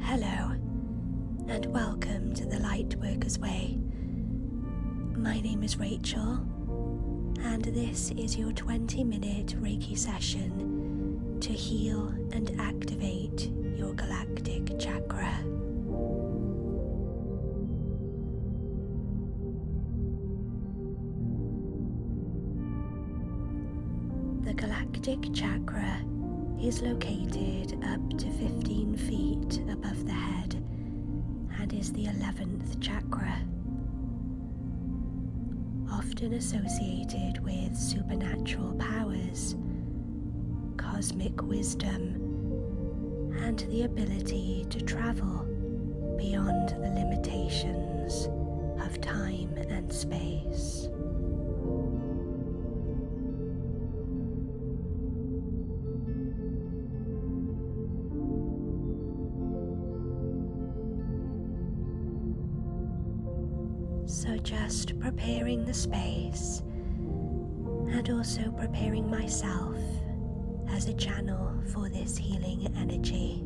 Hello, and welcome to the Lightworkers Way. My name is Rachel, and this is your 20 minute Reiki session to heal and activate your galactic. The galactic chakra is located up to 15 feet above the head and is the 11th chakra. Often associated with supernatural powers cosmic wisdom, and the ability to travel beyond the limitations of time and space. So just preparing the space and also preparing myself as a channel for this healing energy.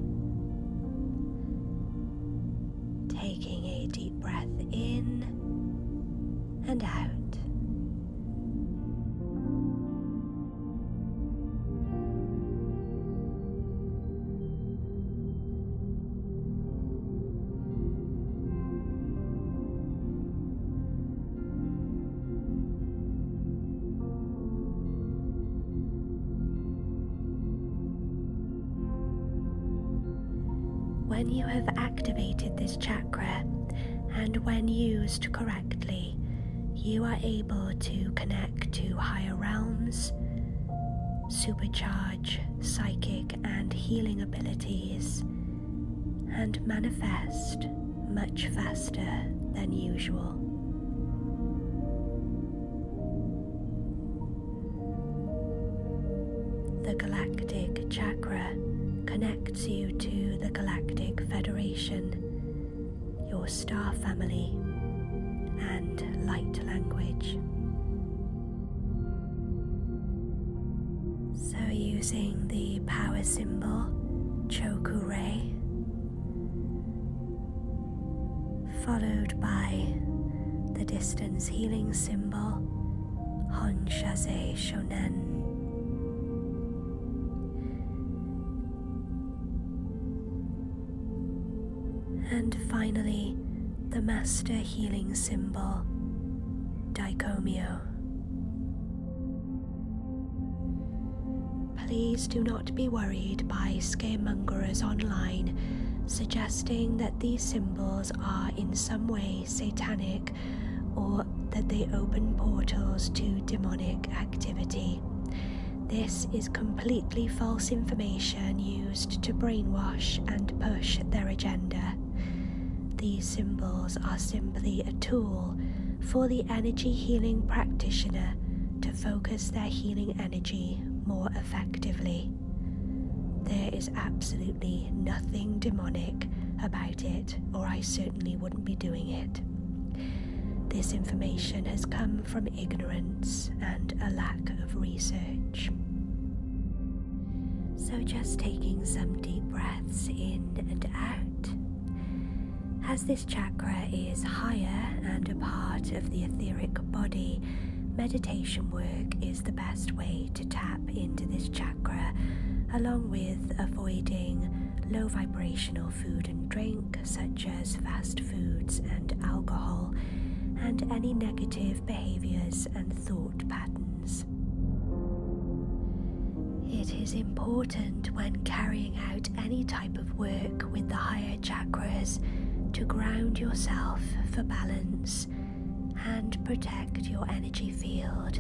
Taking a deep breath in and out. When you have activated this chakra and when used correctly, you are able to connect to higher realms, supercharge psychic and healing abilities and manifest much faster than usual. The Galactic Chakra connects you to the Galactic Federation, your star family, and light language. So, using the power symbol Chokure, followed by the distance healing symbol Honshaze Shonen. And finally, the master healing symbol, Dicomio. Please do not be worried by scaremongers online suggesting that these symbols are in some way satanic or that they open portals to demonic activity. This is completely false information used to brainwash and push their agenda. These symbols are simply a tool for the energy healing practitioner to focus their healing energy more effectively. There is absolutely nothing demonic about it, or I certainly wouldn't be doing it. This information has come from ignorance and a lack of research. So, just taking some deep breaths in and out. As this chakra is higher and a part of the etheric body, meditation work is the best way to tap into this chakra, along with avoiding low vibrational food and drink, such as fast foods and alcohol, and any negative behaviours and thought patterns. It is important when carrying out any type of work with the higher chakras to ground yourself for balance and protect your energy field.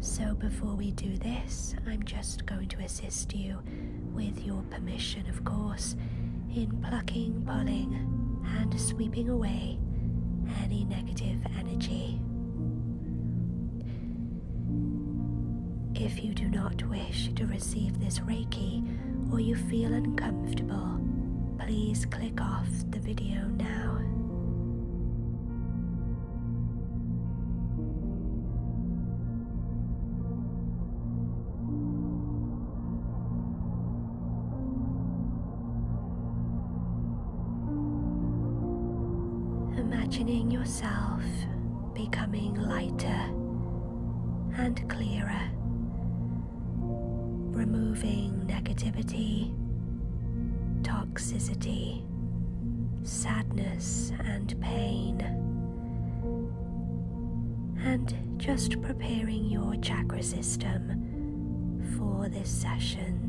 So, before we do this, I'm just going to assist you with your permission, of course, in plucking, pulling, and sweeping away any negative energy. If you do not wish to receive this Reiki or you feel uncomfortable, please click off the video now. Imagining yourself becoming lighter and clearer, removing negativity, toxicity, sadness, and pain and just preparing your chakra system for this session.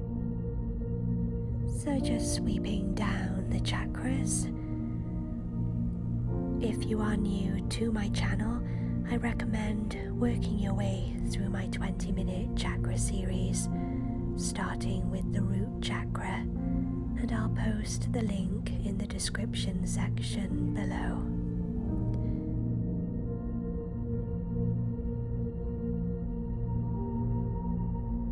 So, just sweeping down the chakras. If you are new to my channel, I recommend working your way through my 20 minute chakra series, starting with the root chakra, and I'll post the link in the description section below.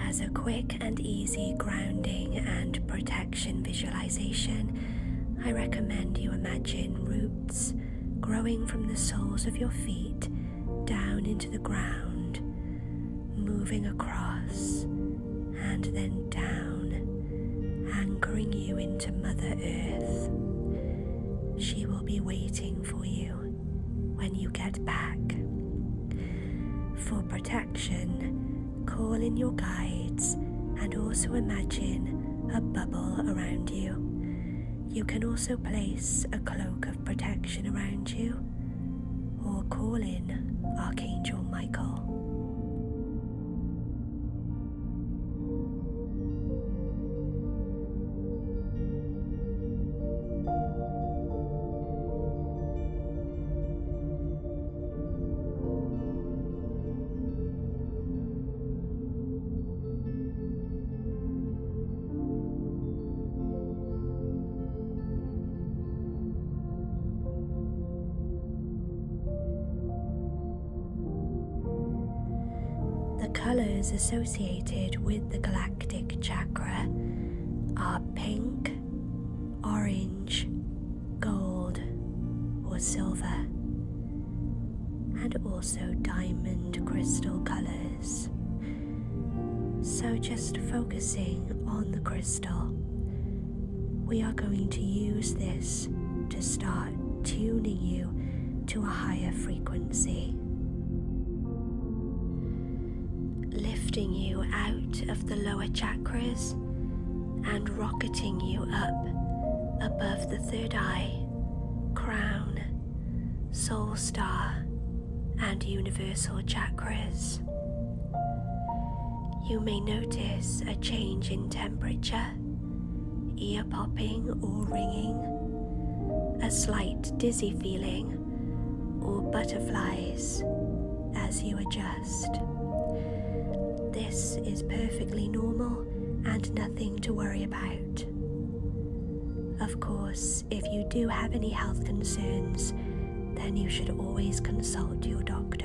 as a quick and easy grounding and protection visualization, I recommend you imagine roots growing from the soles of your feet down into the ground, moving across and then down, anchoring you into Mother Earth. She will be waiting for you when you get back. For protection, call in your guides, and also imagine a bubble around you. You can also place a cloak of protection around you or call in Archangel Michael. The colours associated with the galactic chakra are pink, orange, gold, or silver, and also diamond crystal colors. So, just focusing on the crystal, we are going to use this to start tuning you to a higher frequency lifting you out of the lower chakras and rocketing you up above the third eye, crown, soul star, and universal chakras. You may notice a change in temperature, ear popping or ringing, a slight dizzy feeling, or butterflies as you adjust. This is perfectly normal and nothing to worry about. Of course, if you do have any health concerns, then you should always consult your doctor.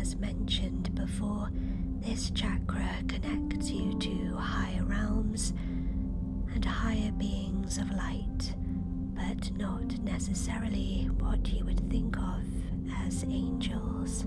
As mentioned before, this chakra connects you to higher realms and higher beings of light, but not necessarily what you would think of as angels.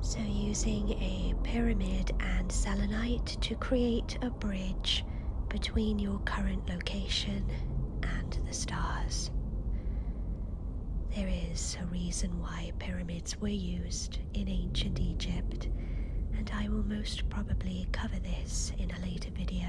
So, using a pyramid and selenite to create a bridge between your current location and the stars. There is a reason why pyramids were used in ancient Egypt, and I will most probably cover this in a later video.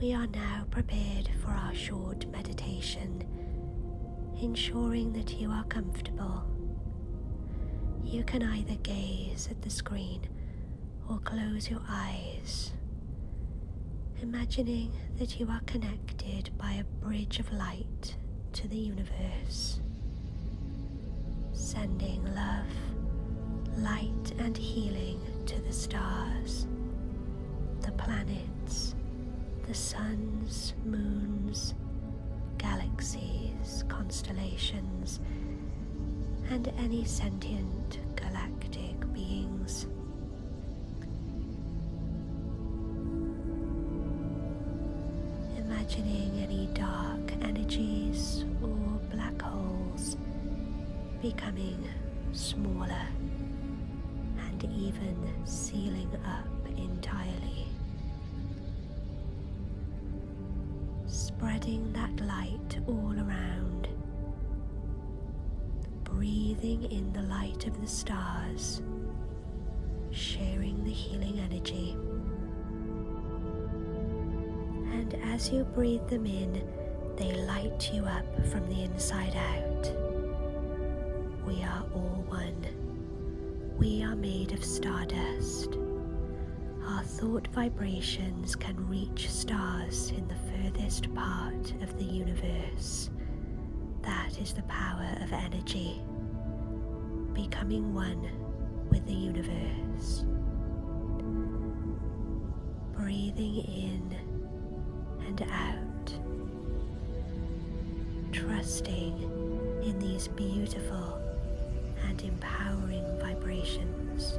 We are now prepared for our short meditation, ensuring that you are comfortable. You can either gaze at the screen or close your eyes, imagining that you are connected by a bridge of light to the universe, sending love, light, and healing to the stars the planets, the suns, moons, galaxies, constellations, and any sentient galactic beings. Imagining any dark energies or black holes becoming smaller and even sealing up entirely. Spreading that light all around, breathing in the light of the stars, sharing the healing energy. And as you breathe them in, they light you up from the inside out. We are all one. We are made of stardust. Our thought vibrations can reach stars in the furthest part of the universe. That is the power of energy, becoming one with the universe. Breathing in and out, trusting in these beautiful and empowering vibrations.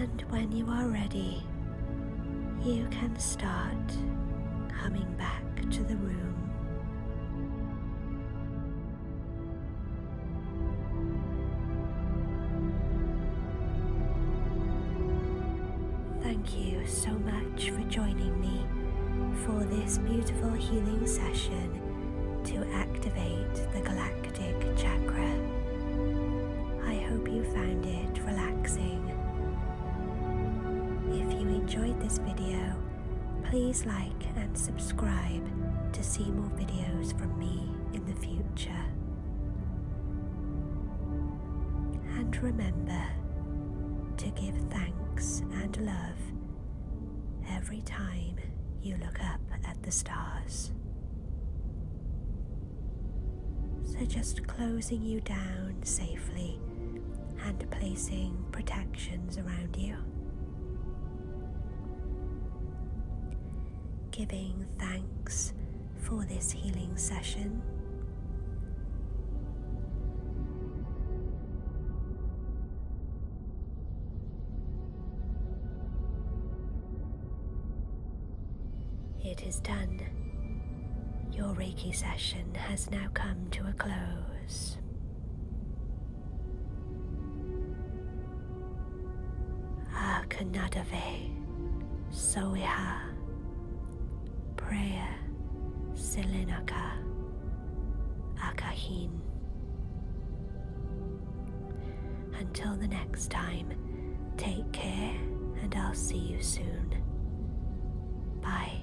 And when you are ready, you can start coming back to the room. Thank you so much for joining me for this beautiful healing session to activate the galactic chakra. I hope you found it relaxing. If you enjoyed this video, please like and subscribe to see more videos from me in the future. And remember to give thanks and love every time you look up at the stars. So just closing you down safely and placing protections around you. Giving thanks for this healing session. It is done. Your Reiki session has now come to a close. Akanadave, Soiha, Prayer, Selenaka, Akahin. Until the next time, take care and I'll see you soon. Bye.